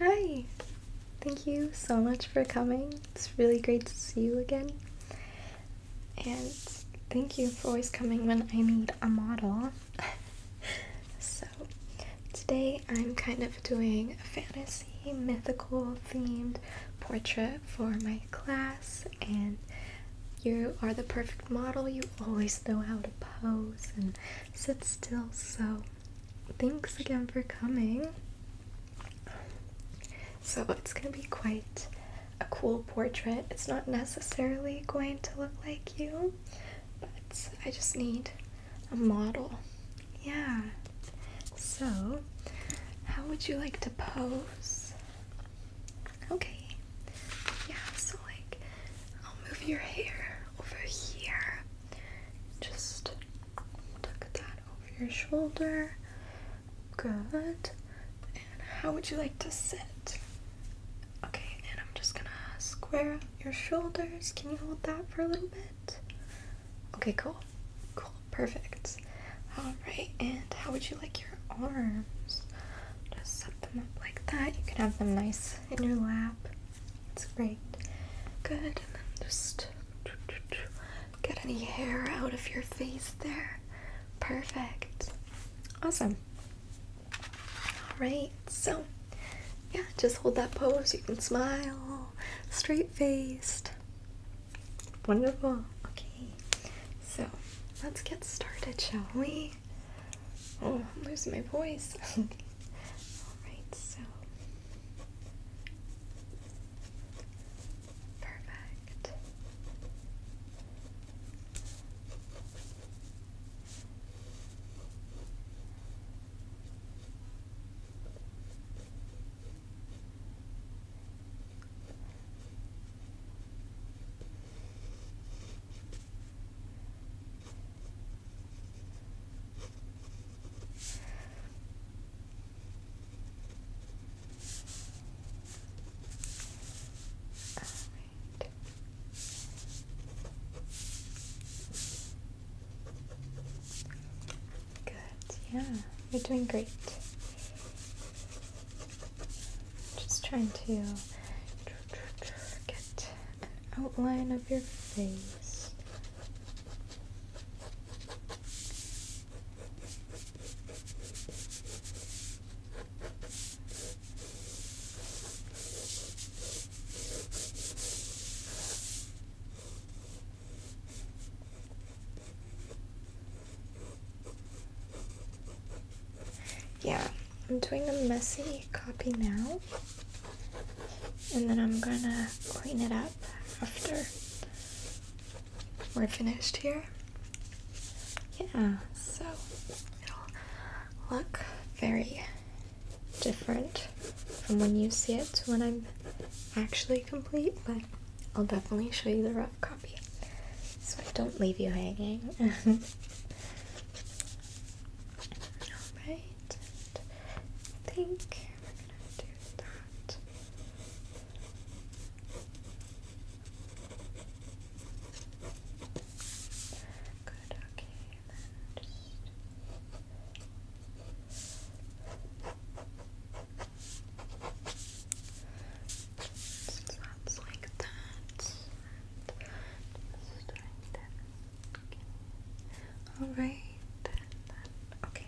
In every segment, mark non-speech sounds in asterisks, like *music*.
Hi! Thank you so much for coming. It's really great to see you again. And thank you for always coming when I need a model. *laughs* so, today I'm kind of doing a fantasy, mythical themed portrait for my class, and you are the perfect model. You always know how to pose and sit still, so thanks again for coming. So it's going to be quite a cool portrait. It's not necessarily going to look like you, but I just need a model. Yeah. So, how would you like to pose? Okay. Yeah, so like, I'll move your hair over here. Just tuck that over your shoulder. Good. And how would you like to sit? Okay, and I'm just gonna square your shoulders. Can you hold that for a little bit? Okay, cool. Cool, perfect. Alright, and how would you like your arms? Just set them up like that. You can have them nice in your lap. It's great. Good, and then just get any hair out of your face there. Perfect. Awesome. Alright, so yeah, just hold that pose. You can smile, straight faced. Wonderful. Okay, so let's get started, shall we? Oh, i losing my voice. *laughs* Alright, so perfect. Good, yeah, you're doing great. Just trying to Get an outline of your face. Yeah, I'm doing a messy copy now, and then I'm gonna clean it up after we're finished here. Yeah, so it'll look very different from when you see it to when I'm actually complete, but I'll definitely show you the rough copy so I don't leave you hanging. *laughs* Alright, I think we're gonna do that. Good, okay, then just that's like that. Alright, okay.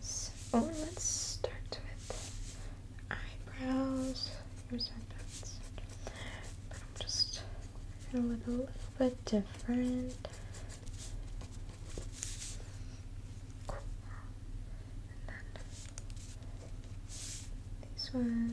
So let's start with eyebrows. Here's our dots. But I'm just a little bit different. Cool. And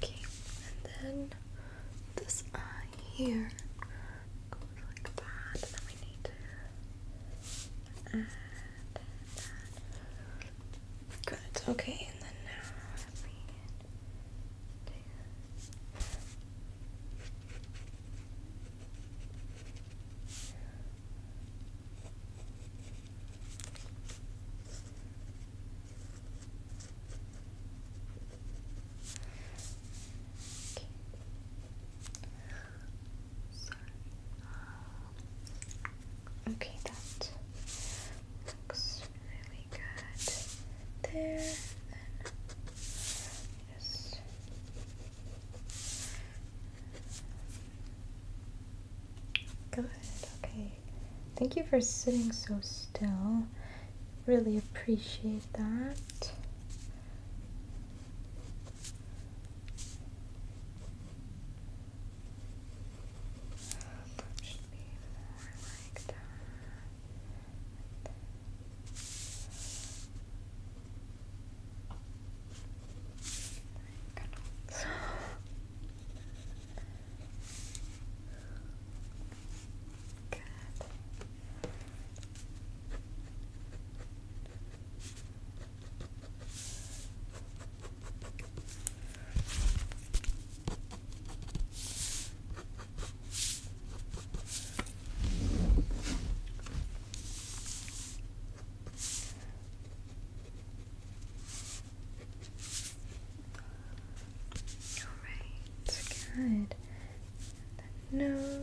Okay, and then this eye here goes like that. then we need to add that. Good. Okay, and then now let me do Okay, that um, looks really good there. Then good. Okay. Thank you for sitting so still. Really appreciate that. Canals. Good. Alright, good. The nose.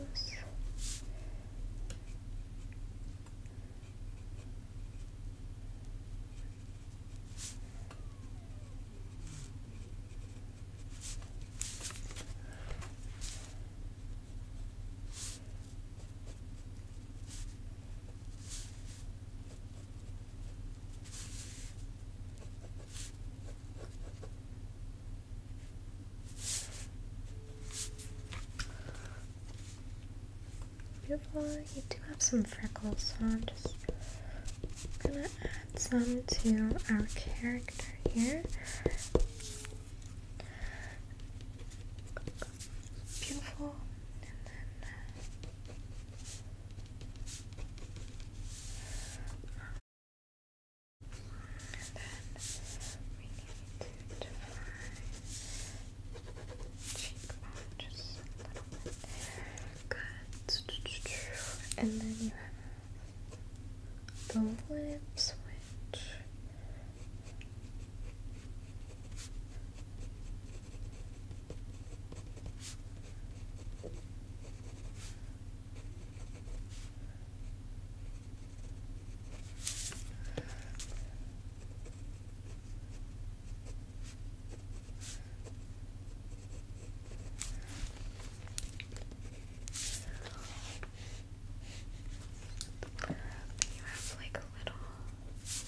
Beautiful. You do have some freckles, so I'm just gonna add some to our character here beautiful, and then we need to define cheekbone Good, and then you have the lips, which. You have like a little Good.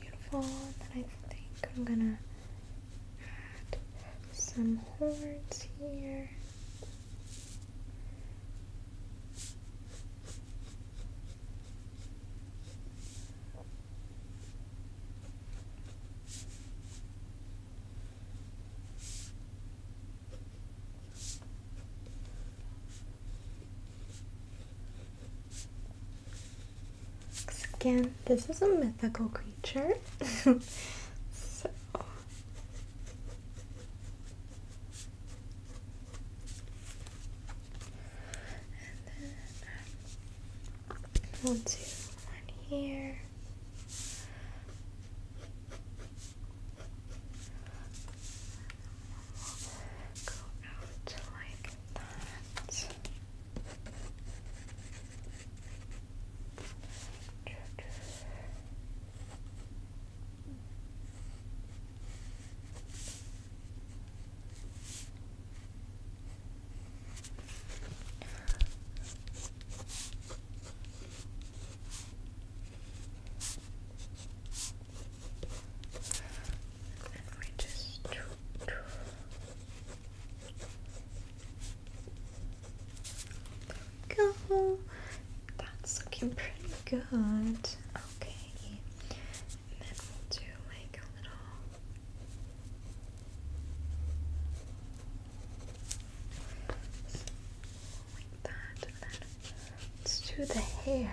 Beautiful. I think I'm gonna add some horns here. Again, this is a mythical creature. *laughs* so and um, here like that. And we just go. That's looking pretty good. Okay. And then we'll do like a little like that. then let's do the hair.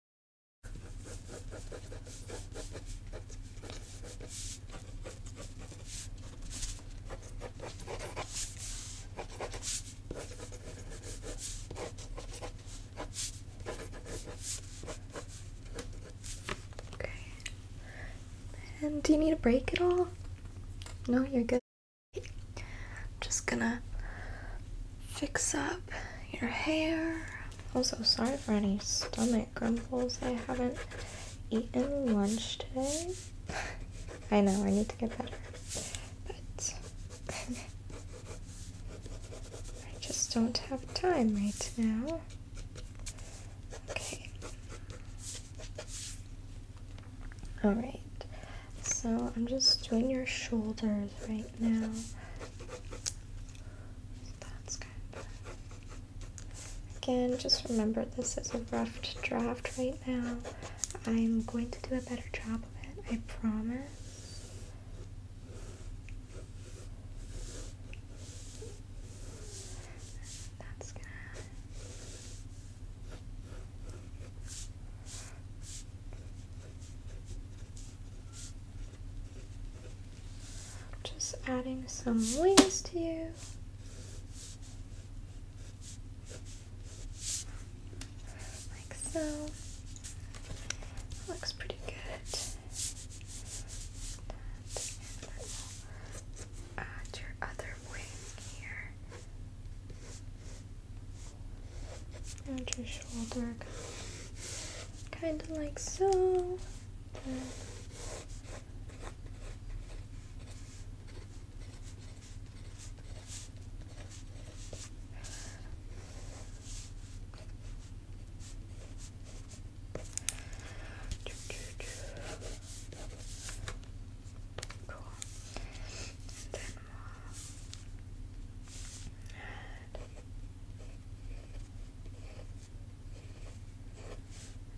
Okay. And do you need a break at all? No, you're good. I'm just gonna fix up your hair. I'm so sorry for any stomach grumbles. I haven't eaten lunch today. *laughs* I know, I need to get better. But *laughs* I just don't have time right now. Okay. Alright. So I'm just doing your shoulders right now. Again, just remember this is a rough draft right now. I'm going to do a better job of it, I promise. Just adding some wings to you. Like so. looks pretty good. add your other wing here. Out your shoulder, kind of like so.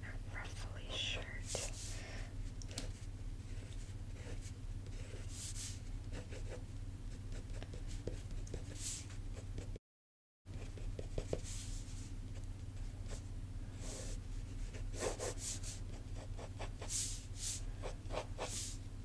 A ruffly shirt.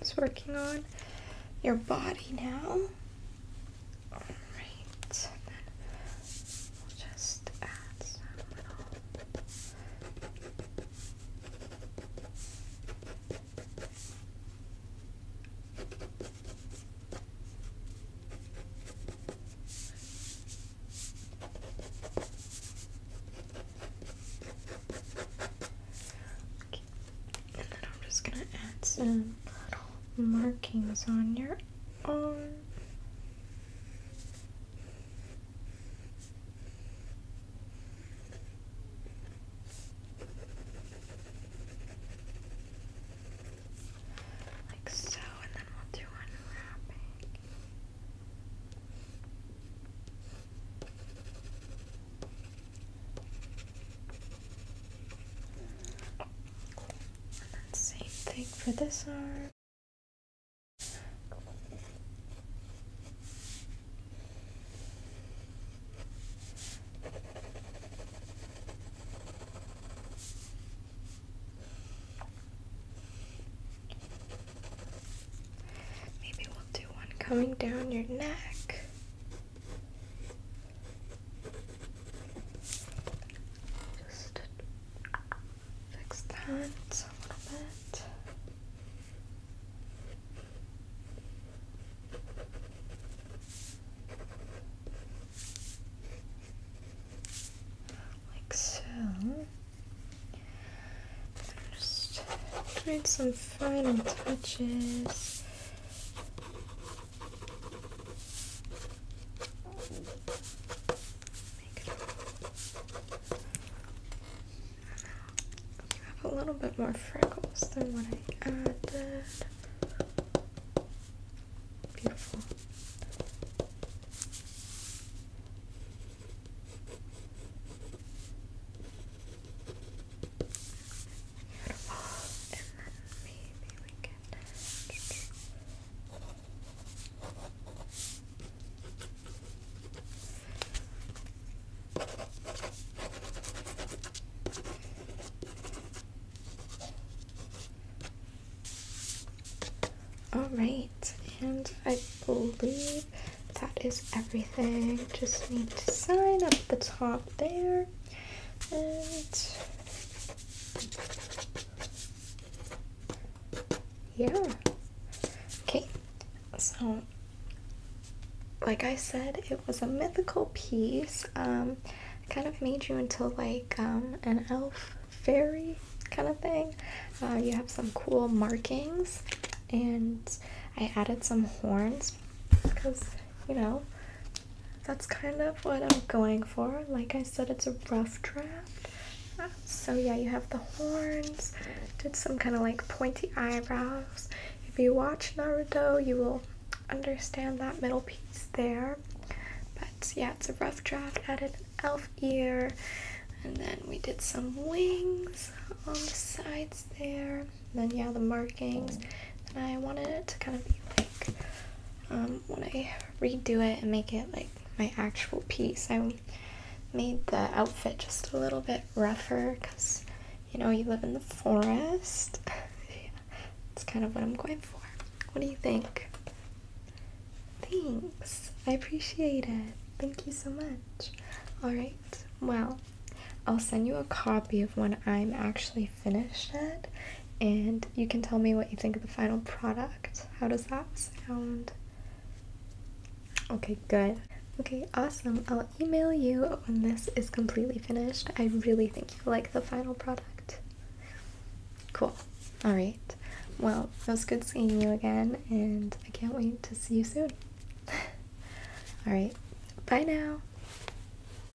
it's working on your body now. All right just I'm just gonna add some little markings on your on. Um, like so, and then we'll do unwrapping. Same thing for this arm. Maybe we'll do one coming down your neck. Just fix that a little bit. Like so. Just doing some final touches Make You have a little bit more freckles than what I added. Beautiful. Beautiful. And then maybe we can all right, and I believe that is everything. Just need to sign up the top there, and yeah. Okay, so like I said, it was a mythical piece. Um, kind of made you into like um, an elf fairy kind of thing. Uh, you have some cool markings, and I added some horns because you know that's kind of what I'm going for. Like I said, it's a rough draft. So yeah, you have the horns, did some kind of like pointy eyebrows. If you watch Naruto, you will understand that middle piece there. But yeah, it's a rough draft, added an elf ear, and then we did some wings on the sides there. And then yeah, the markings. And I wanted it to kind of be like um, when I redo it and make it like my actual piece. I made the outfit just a little bit rougher because you know you live in the forest. It's *laughs* kind of what I'm going for. What do you think? Thanks, I appreciate it. Thank you so much. All right, well, I'll send you a copy of when I'm actually finished it and you can tell me what you think of the final product. How does that sound? Okay, good. Okay, awesome. I'll email you when this is completely finished. I really think you'll like the final product. Cool. All right. Well, it was good seeing you again, and I can't wait to see you soon. *laughs* All right. Bye now.